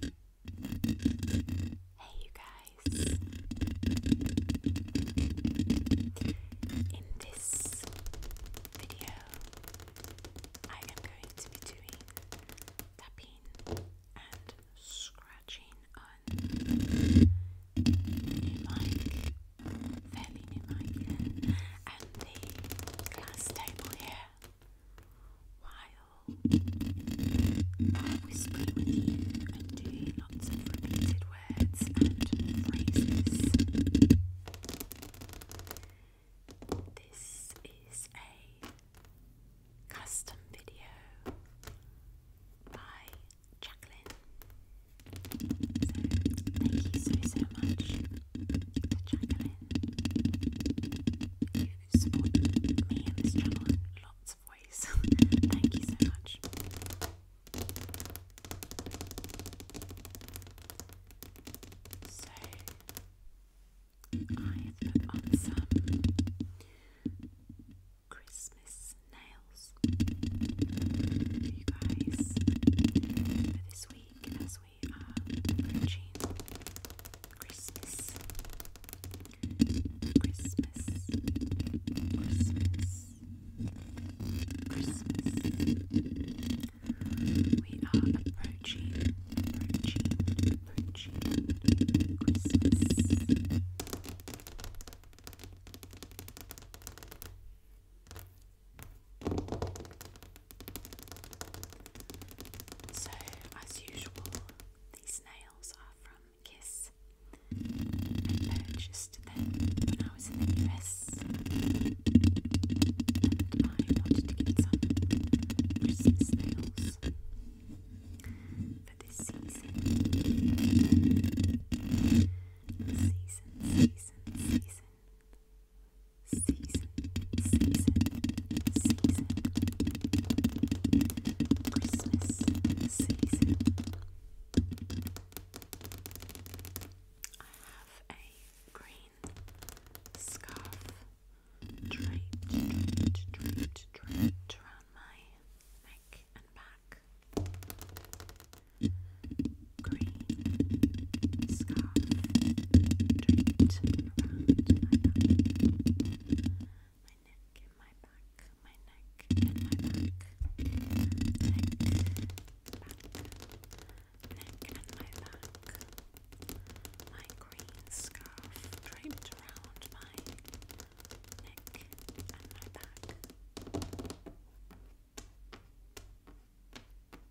Hey, you guys. In this video, I am going to be doing tapping and scratching on new mic, fairly mic, and the glass table here while I and do lots of repeated words and phrases. This is a custom video by Jacqueline. So thank you so so much Jacqueline You've supported me and this channel lots of ways. Thank you so much. So, I've put on some Christmas nails for you guys for this week we are approaching Christmas. Christmas. Christmas. Christmas. We are approaching, approaching, approaching Christmas. So, as usual, these nails are from Kiss. I purchased I was in the US and wanted to get some Christmas nails for this season. Season, season, season season, season, season. Christmas season. I have a green scarf draped, draped, draped, draped around my neck and back green scarf draped around my neck and my back, my neck and my back. My green scarf draped around my neck and my back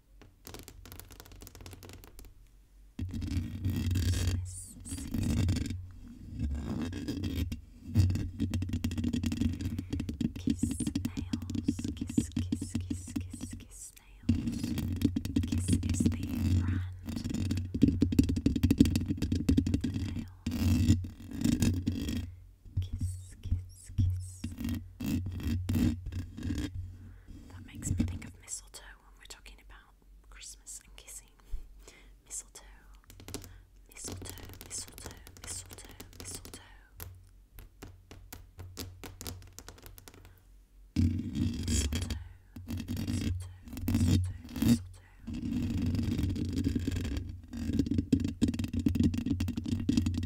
kiss, kiss, kiss, kiss, kiss nails. Kiss is the brand. The nails. Kiss, kiss, kiss. That makes me think of mistletoe when we're talking about Christmas and kissing. Mistletoe, mistletoe, mistletoe, mistletoe, mistletoe. Mistletoe, mistletoe, mistletoe, mistletoe.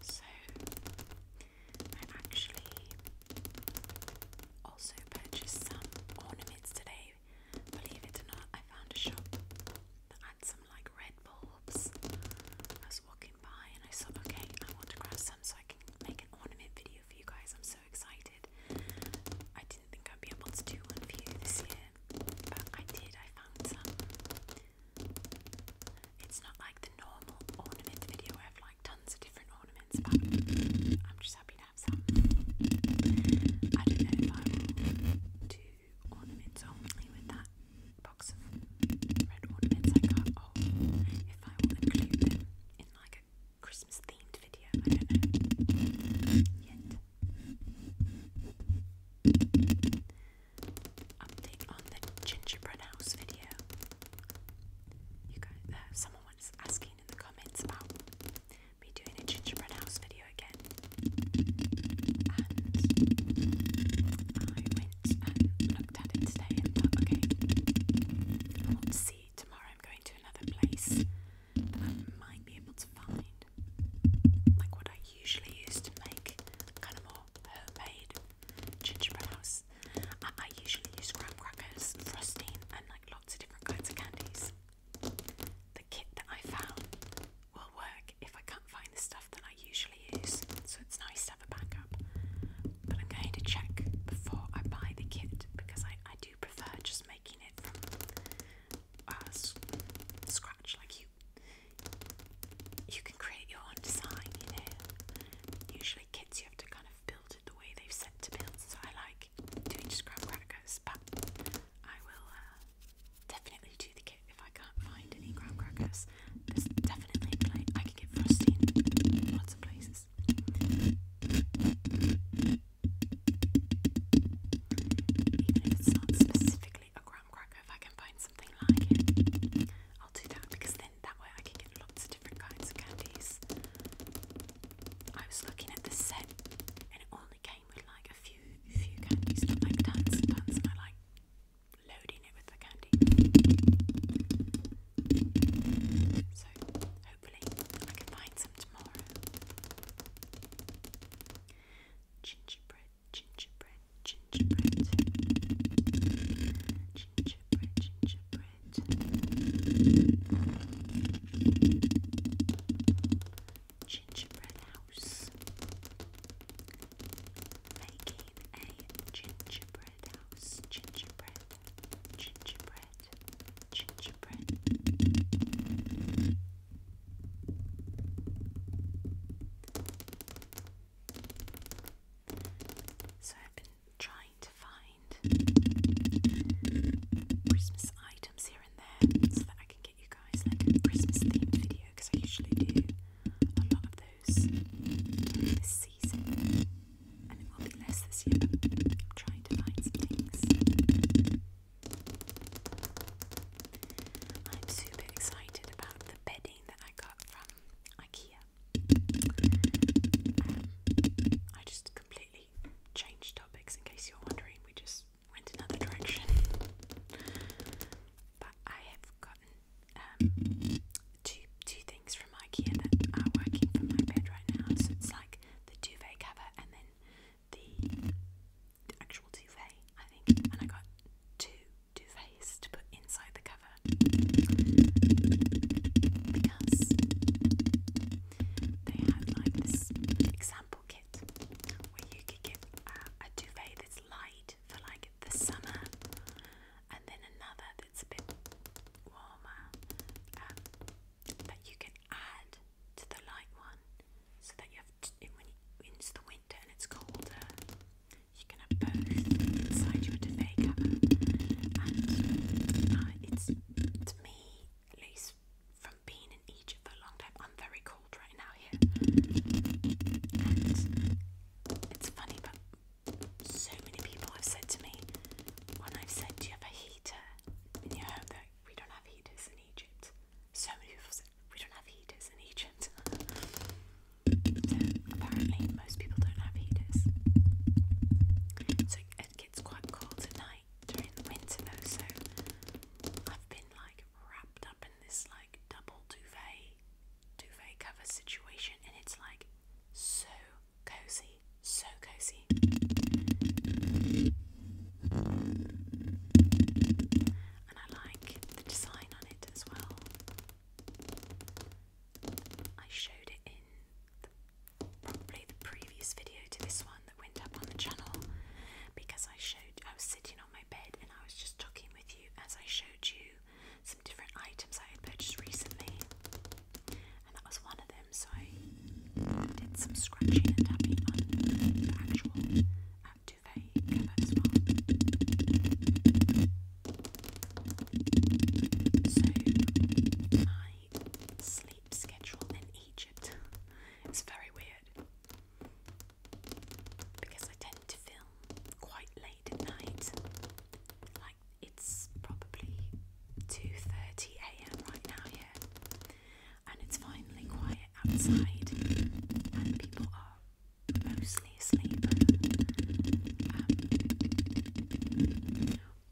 So I actually also purchased some ornaments today. Believe it or not, I found a shop that had some like red bulbs. I was walking by and I thought, okay, I want to grab some so I can make an ornament video for you guys so excited. I didn't think I'd be able to do one for you this year, but I did. I found some. It's not like the normal ornament video where I've like tons of different ornaments, I'm just happy to have some. I don't know if I will do ornaments only with that box of red ornaments I got, or if I will include in like Christmas themed video. I don't know yet. Update on the gingerbread house video. You guys, uh, someone was asking in the comments about me doing a gingerbread house video again, and I went and looked at it today and okay, I want to see. Tomorrow I'm going to another place I might be able to find. Like what I usually use to make kind of more homemade gingerbread house. I, usually use graham crackers, frosting, and like lots of different kinds of candies. The kit that I found will work if I can't find the stuff that I usually use, so it's nice to have a backup. But I'm going to check before I buy the kit because I, I do prefer just making from uh, scratch. Like you, you can create your own design. You know, usually kits you have to kind of build it the way they've set to build. So I like doing scrap crackers, but I will uh, definitely do the kit if I can't find any graham crackers. There's definitely a I can get frosting in lots of places. Even if it's not specifically a graham cracker, if I can find something like it, I'll do that because then that way I can get lots of different kinds of candies. I was looking at the set and it only came with like a few few candies, like tons and and I like loading it with the candy. So I can find some tomorrow. Gingerbread, gingerbread, gingerbread. Gingerbread, gingerbread. Gingerbread house. Making a gingerbread house. Gingerbread gingerbread, gingerbread. So I've been trying to find Christmas items here and there so that I can get you guys a Christmas themed video because I usually do a lot of those this season. I'm trying to find things. I'm super excited about the bedding that I got from IKEA. Um, I just completely changed topics in case you're wondering. We just went another direction. But I have gotten um, two two things from IKEA that are working for my bed right now. So it's like the duvet cover and then the, actual duvet, I think. And I got two duvets to put inside the cover because they had like this example kit where you could get uh, a duvet that's light for like the summer and then another that's a bit warmer. Uh, that you can add to the light one so that you have t when you, it's the winter and it's colder you can have both inside your duvet cover and uh, it's to me at least from being in Egypt for a long time I'm very cold right now here and it's funny but so many people have said to me when I've said do you have a heater there, and you heard we don't have heaters in Egypt. So many people said we don't have heaters in Egypt. apparently, most people don't have heaters. So it gets quite cold at night during the winter, though. So I've been like wrapped up in this like double duvet, duvet cover situation, and it's like so cozy, so cozy. And I like the design on it as well. I showed it in probably the previous video to this one that went up on the channel because I showed I was sitting on my bed and I was just talking with you as I showed you some different items I had purchased recently and that was one of them. So I did some scratching and tapping on actual um, as well. So my sleep schedule in Egypt is very weird because I tend to film quite late at night, it's probably 2:30 a.m. right now here, and it's finally quiet outside, and people are mostly asleep. Um,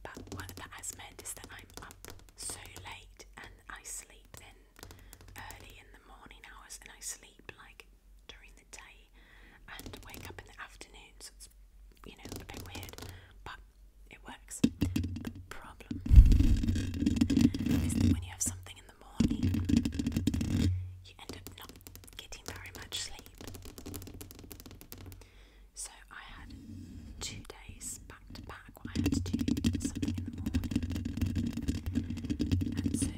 but what that has meant is that I'm up so late, and I sleep then early in the morning hours, and I sleep like during the day and wake up in the afternoon. So it's you know a bit weird, but it works. The problem is when you have something in the morning, you end up not getting very much sleep. So I had two days back to back I had to do something in the morning. And so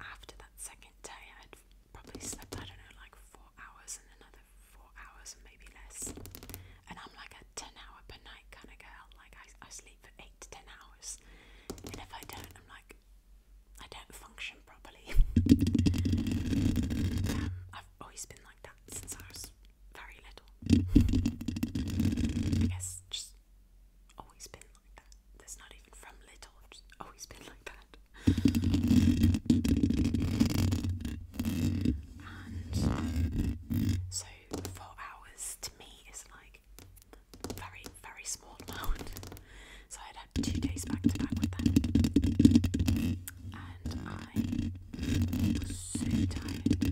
after that second day, I had probably slept, I don't know, like four hours and another four hours maybe less. And I'm like a 10 hour per night kind of girl. Like, I, I sleep for 8 to 10 hours. And if I don't, I'm like, I don't function properly. Um, I've always been like that since I was very little. I guess just always been like that. That's not even from little, always been like that so four hours to me is like very, very small amount. So I'd had two days back to back with them. And I was so tired.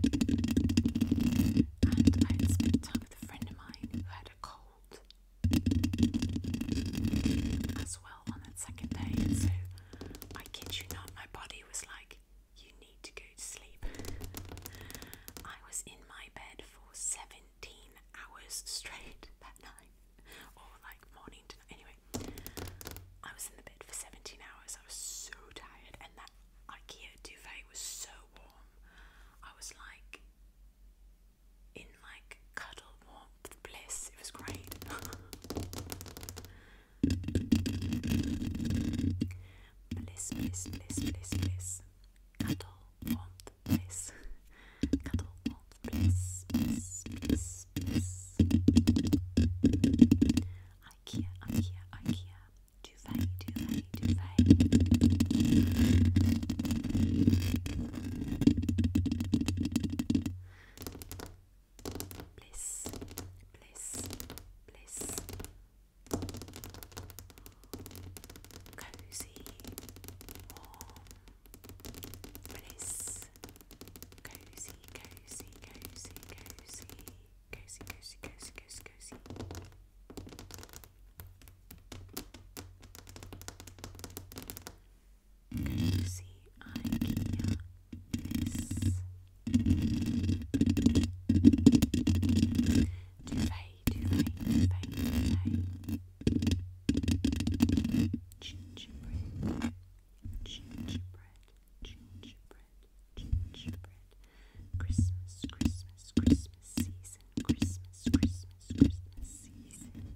And I had spent time with a friend of mine who had a cold well on that second day. So I kid you not, my body was like, you need to go to sleep. I was in my bed for 17 hours straight that night, or like morning to night. Anyway, I was in the bed for 17 hours. I was so tired, and that IKEA duvet was so warm. I was like in like cuddle warm bliss. It was great. bliss, bliss, bliss, bliss, bliss. Cuddle, warmth, bliss. Cuddle, warmth, bliss, bliss, bliss, bliss. Ikea, Ikea, Ikea. Duvet, duvet, duvet bliss, bliss, bliss, cozy, warm, bliss, cozy, cozy, cozy, cozy, cozy, cozy, cozy, cozy, cozy. Can you see IKEA this? Duvet, duvet, duvet, duvet. Gingerbread, gingerbread, gingerbread, gingerbread. Christmas, Christmas, Christmas season, Christmas, Christmas, Christmas season.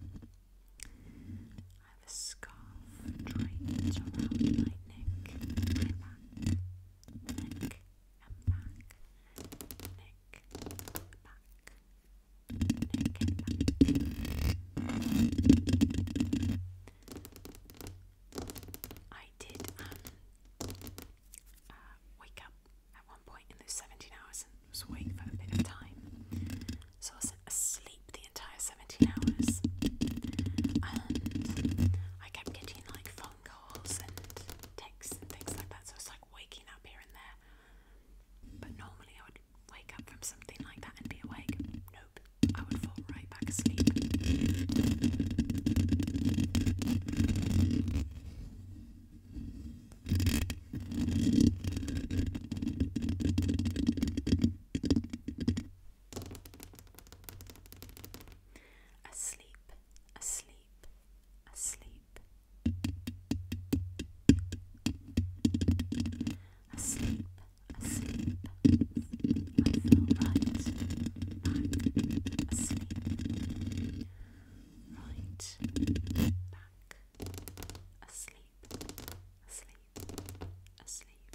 I have a scarf draped around my neck, neck and back, neck, back, neck and back. I did um, uh, wake up at one point in those 17 hours and was awake for a bit of time. So I was asleep entire 17 hours. I kept getting like phone calls and texts and things like that, so it's like waking up here and there. But normally I would wake up from something like that and be awake. Nope, I would fall right back asleep. Asleep, asleep, asleep. Asleep, asleep. I fell right back asleep. Right back asleep asleep, asleep,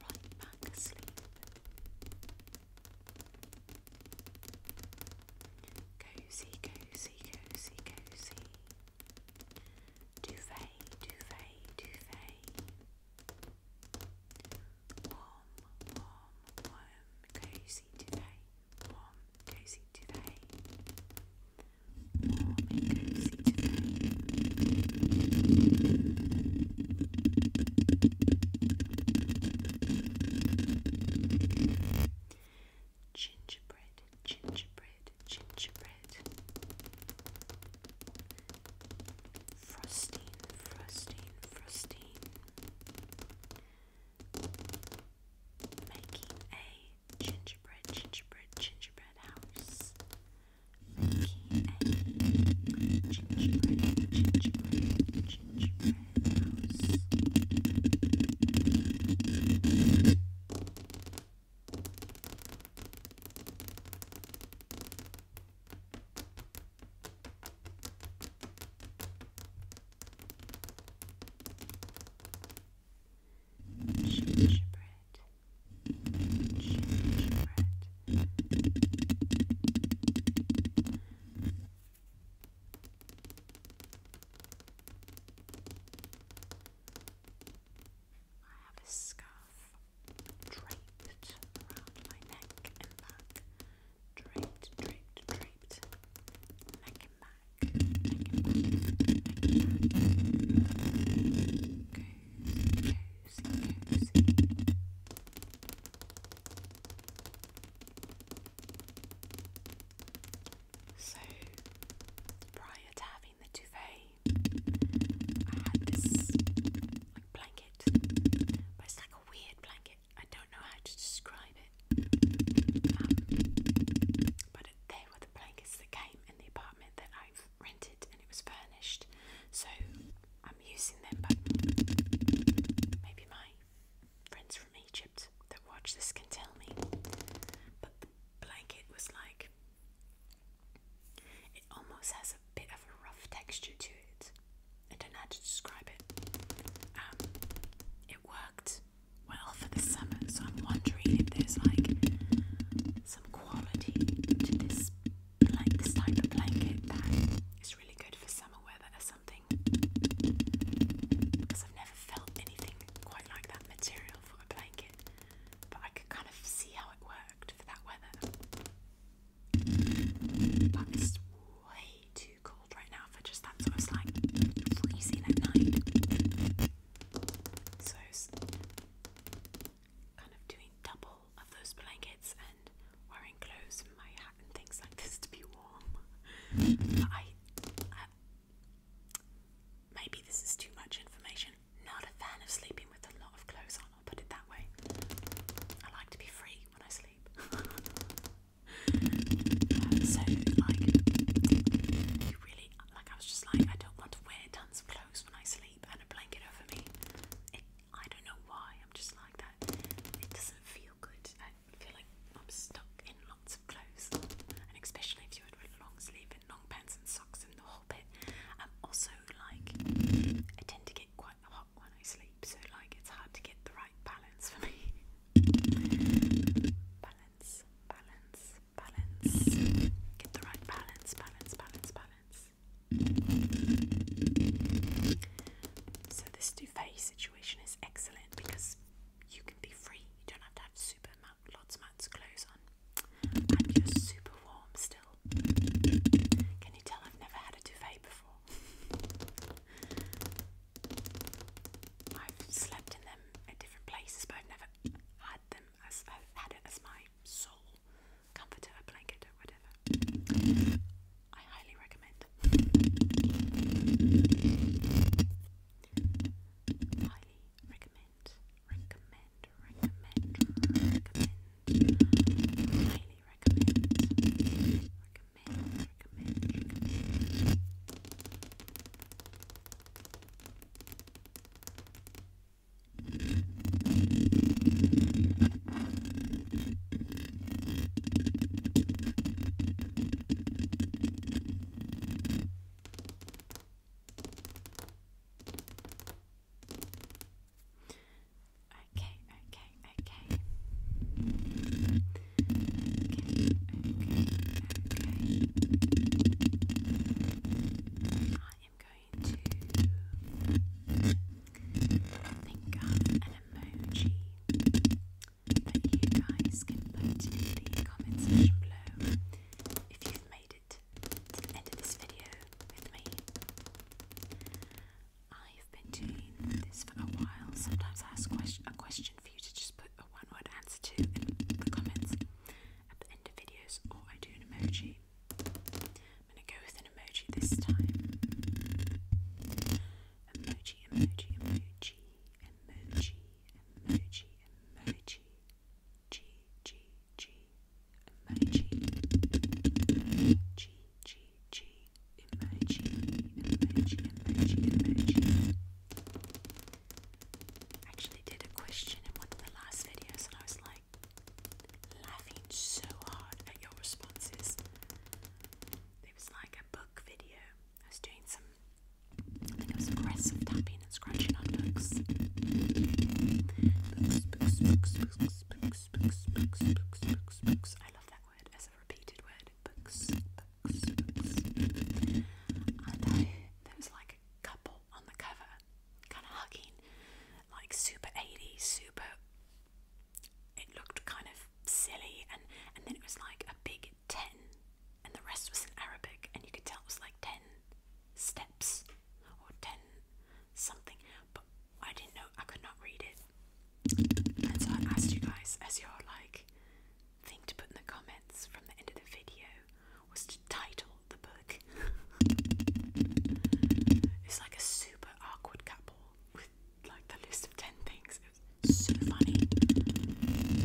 right back asleep. Cozy, cozy, cozy, cozy. Duvet, duvet, duvet. Warm, warm, warm, cozy duvet. Warm, cozy duvet. Gingerbread, gingerbread, gingerbread. Frosting, frosting, frosting making a gingerbread, gingerbread, gingerbread house. Making a gingerbread, gingerbread, gingerbread house gingerbread, gingerbread. I have a scarf draped around my neck and back. Draped, draped, draped. Neck and so, prior to having the duvet, I had this like blanket, but it's like a weird blanket. I don't know how to describe it, um, but it, they were that came in the apartment that I've rented and it was furnished. So I'm using them, but maybe my friends from Egypt that watch this can tell me. But the blanket was like, it almost has a bit of a rough texture to it. I don't know how to describe it. Um, it worked well for the summer. So I'm wondering if there's like some quality to this blanket, this type of blanket that is really good for summer weather or something. Because I've never felt anything quite like that material for a blanket, but I could kind of see how it worked for that weather. But it's way too cold right now stuff. I just that's what it's like freezing at night. So kind of doing double of those blankets and wearing clothes and my hat and things like this to be warm. I, maybe this is too much information. Not a fan of sleeping with a lot of clothes on. I'll put it that way. I like to be free when I sleep. so, like, really like I was just like I don't want to wear tons of clothes when I sleep and a blanket over me. I don't know why I'm just like that. It doesn't feel good. I feel like I'm stuck in lots of clothes, and especially if you're with long sleeves and long pants and socks in the whole bit. I'm also like I tend to get quite hot when I sleep, so like it's hard to get the right balance for me. balance, balance, balance. Get the right balance, balance, balance, balance. So this duvet situation is excellent because you can be free. You don't have to have super amount, lots amounts of clothes on, and you're super warm still. Can you tell I've never had a duvet before? I've slept in them them different places, but I've never had them as I've had it as my sole comforter, blanket, or whatever. I highly recommend. Highly Recommend. Recommend. Recommend. Highly recommend. Recommend recommend. Okay, okay, okay think of an emoji that you guys can put in the comment below if you've made it to the end of this video with me. I've been doing this for a while. Sometimes I ask a question for you to just put a one word answer to in the comments at the end of videos, or I do an emoji. I'm gonna go with an emoji this time. Emoji, emoji, emoji, emoji, emoji, emoji, G, G, G, emoji, G, G, G, emoji, emoji, emoji, emoji actually did a question in one of the last videos, and I was like laughing so hard at your responses. It was like a book video. I was doing some, I think it was aggressive tapping and scratching on books. Books, books, books, books, books, books, books, books, books, books. I love that word repeated word. Books, I, there was like a couple on the cover, kind of hugging, like super 80s, super. It looked kind of silly, and and then it was like a big ten, and the rest was in Arabic, and you could tell it was like ten steps or ten something, but I didn't know I could not read it. And so I asked you guys as your like thing to put in the comments from the end of the video was to title the book. it's like a super awkward couple with like the list of 10 things. It was so funny.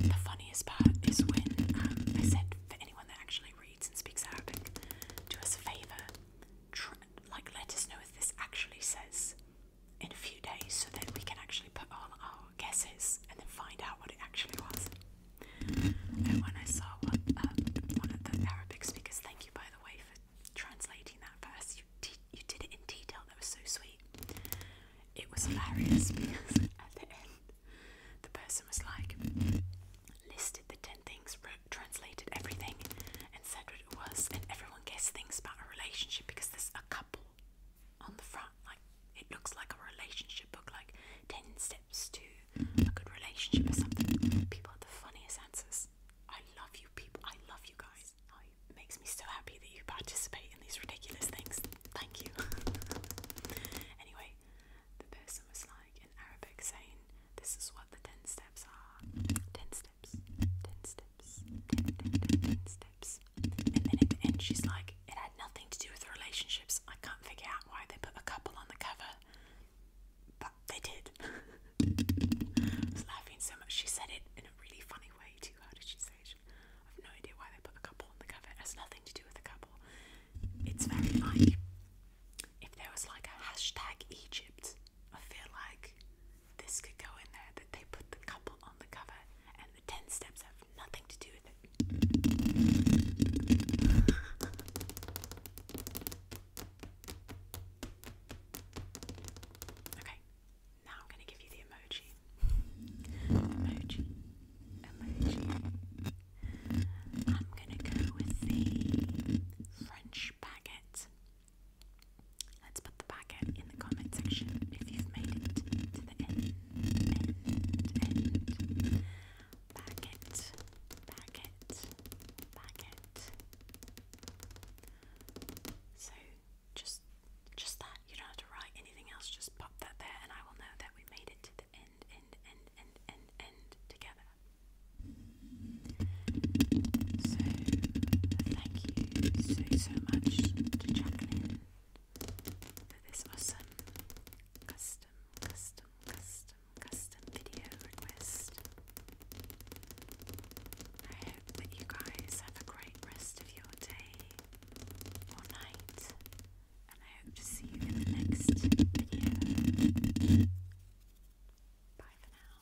The funniest part is when um, I said, for anyone that actually reads and speaks Arabic, do us a favor, like let us know if this actually says in a few days so that we can actually put all our guesses and then find out what it actually was. And when I saw um, one of the Arabic speakers, thank you by the way for translating that verse. you, you did it in detail, that was so sweet. It was hilarious because at the end, the person was like, listed the 10 things, wrote, translated everything, and said what it was, and everyone guessed things about a relationship because there's a couple on the front, like it looks like a relationship book, like ten steps to a good relationship or something. People have the funniest answers. I love you people. I love you guys. Oh, it makes me so happy that you participate in these ridiculous things. Thank you. anyway, the person was like in Arabic saying, This is what the 10 steps are. 10 steps, 10 steps, 10, 10 steps and then at the end she's like, it had nothing to do with relationships. I can't figure out why they put a couple on the cover, but they did. I was laughing so much. She said it in a really funny way too. How did she say it? I have no idea why they put a couple on the cover. It has nothing to do with a couple. It's very like if there was like a hashtag Egypt. I feel like this could go in there that they put the couple on the cover 10 steps have nothing to do with it. okay, now I'm going to give you the emoji. Emoji. Emoji. I'm going to go with the French baguette. Let's put the packet in the comment section if you've made it to the end. End, end. Packet, packet, packet. So just just that. You don't have to write anything else. Just pop that there and I will know that we made it to the end, end, end, end, end, end together. So thank you so so much to Jacqueline for this awesome custom, custom, custom, custom video request. I hope that you guys have a great rest of your day or night, and I hope to see you in the next video. Bye for now.